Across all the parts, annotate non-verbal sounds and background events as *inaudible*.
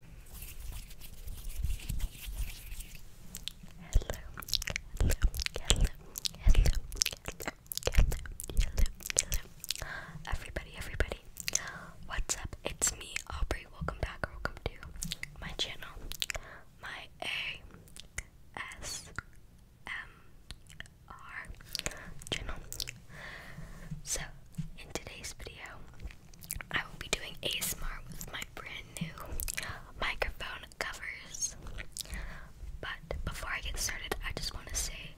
hello, hello, hello, hello. Hello, hello, hello. Everybody, everybody. What's up? It's me, Aubrey. Welcome back or welcome to my channel. My A S M R channel. So in today's video, I will be doing ASMR with my brand new microphone covers. But before I get started, I just want to say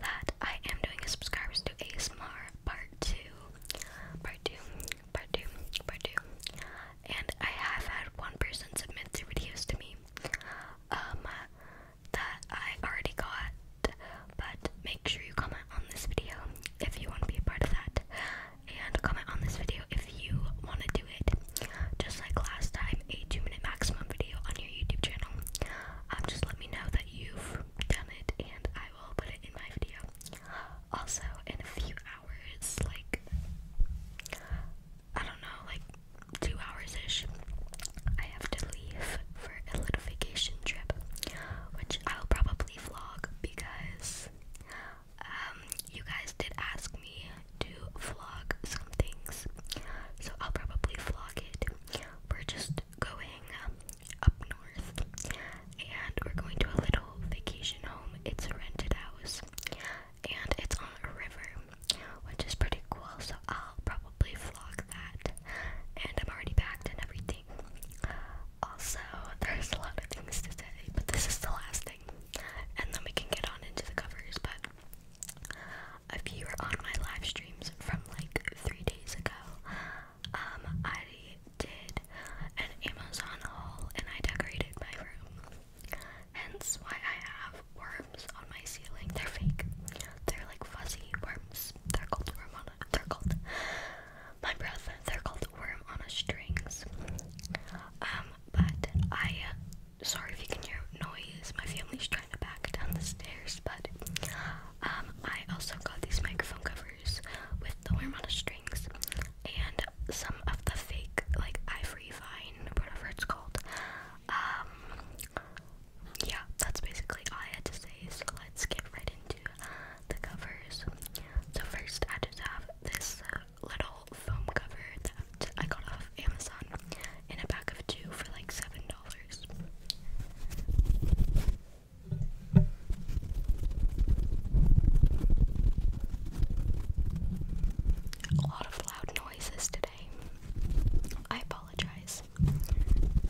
that I am doing a subscribers to ASMR part 2, part 2, part 2, part 2. And I have had one person submit their videos to me um, that I already got but make sure you comment on this video if you want to be a part of that. And comment on this video if you want to do it. Just like last time, a two minute maximum video on your YouTube channel. Um, just let me know that you've done it and I will put it in my video. Also, in a few hours, like, I don't know, like two hours ish, I have to leave for a little vacation trip, which I'll probably vlog because um, you guys did ask me to vlog some things, so I'll probably vlog it. We're just going up north and we're going to a little vacation home. It's a rented house and it's on a river, which is pretty cool, so I'll probably vlog that. And I'm already packed and everything thing. Also, there's a lot of things to say, but this is the last thing, and then we can get on into the covers. But if you were on my live streams from like three days ago, um, I did an Amazon haul and I decorated my room. Hence why I have worms on my ceiling. They're fake. They're like fuzzy worms. They're called worm They're called my breath. They're called worm on a strings. Um, but I, uh, sorry if you can hear noise. My family's trying to back down the stairs, but um, I also got these microphone covers with the worm on a strings and some of the fake, like ivory vine, whatever it's called. Um, yeah, that's basically all I had to say. So let's get right into the covers. So first I just have this uh, little foam cover that I got off Amazon in a pack of two for like seven dollars. A lot of loud noises today. I apologize.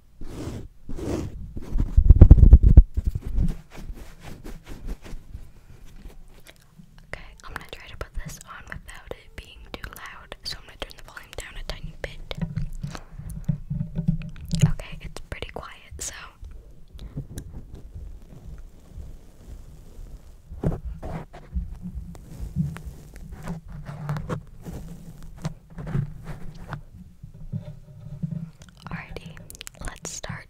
Okay, I'm gonna try to put this on without it being too loud, so I'm gonna turn the volume down a tiny bit. Okay, it's pretty quiet, so. Alrighty, let's start.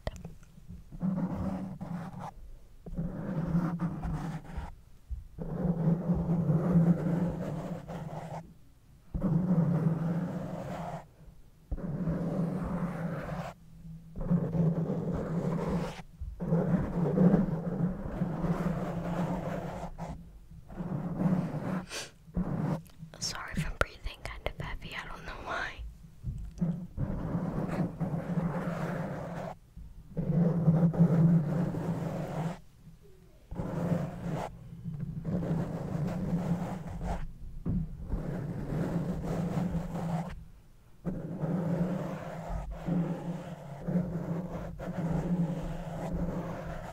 Sorry if I'm breathing kind of heavy, I don't know why.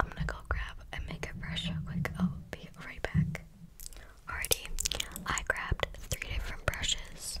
I'm gonna go grab a makeup brush quick. I'll be right back. Alrighty, I grabbed three different brushes.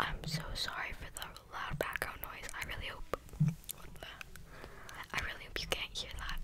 I'm so sorry for the loud background noise. I really hope I really hope you can't hear that.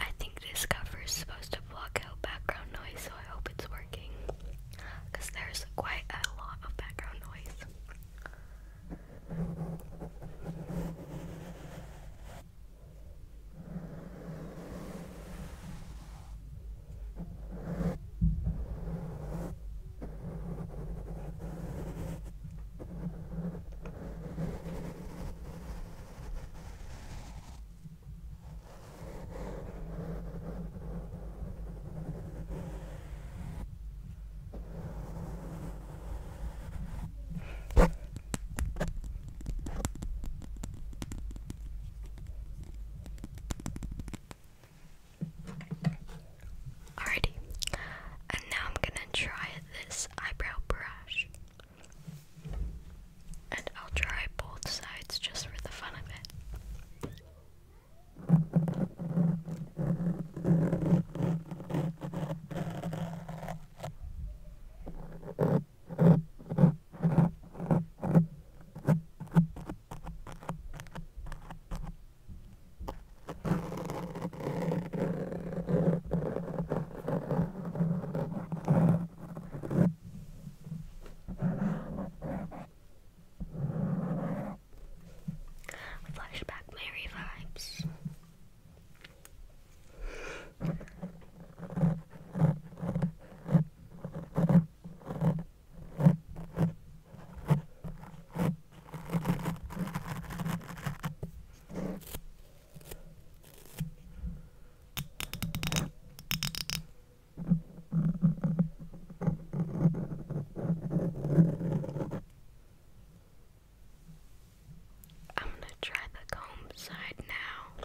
I think this cover is supposed to block out background noise, so I hope it's working because there's quite a lot of background noise. Alrighty, and now I'm gonna try this eyebrow brush. And I'll try both sides just for the fun of it. Flashback Mary vibes. I'm going to try the comb side now.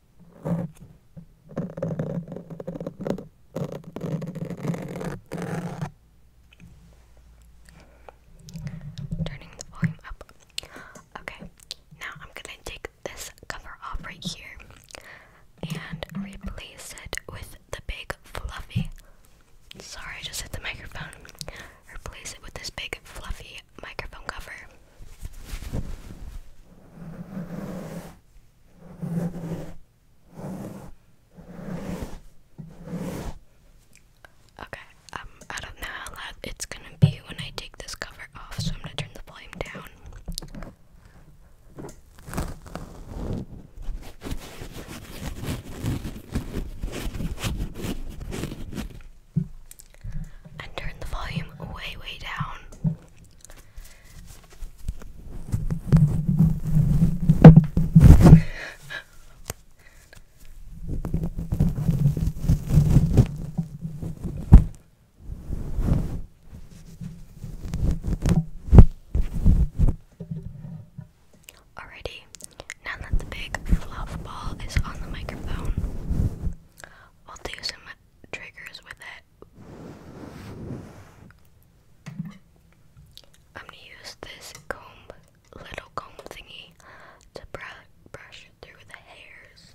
Turning the volume up. Okay, now I'm gonna take this cover off right here and replace it with the big fluffy. Sorry, I just hit the microphone. Replace it with this big fluffy microphone cover. Okay, um, I don't know how loud it's gonna be when I take this cover off, so I'm gonna turn the volume down and turn the volume way, way down. Alrighty, now that the big fluff ball is on the microphone, I'll do some triggers with it. I'm gonna use this comb, little comb thingy, to br brush through the hairs.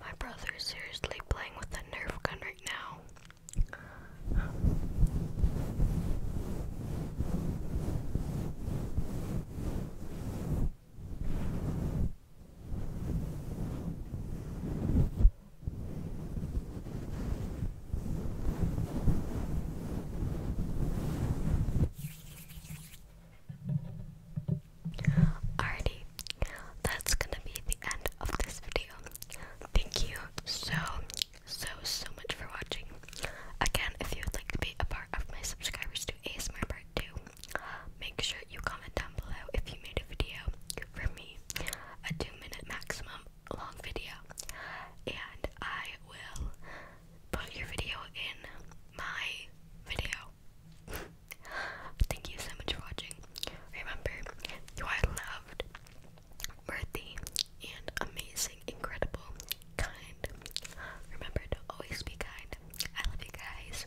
My brother is seriously playing with a Nerf gun right now. Alrighty, that's gonna be the end of this video. Thank you so, so, so much for watching. Again, if you would like to be a part of my subscribers to ASMR Part 2, make sure you comment down below if you made a video for me, a two minute maximum long video, and I will put your video in my video. *laughs* Thank you so much for watching. Remember, you are loved, worthy, and amazing, incredible, kind. Remember to always be kind. I love you guys.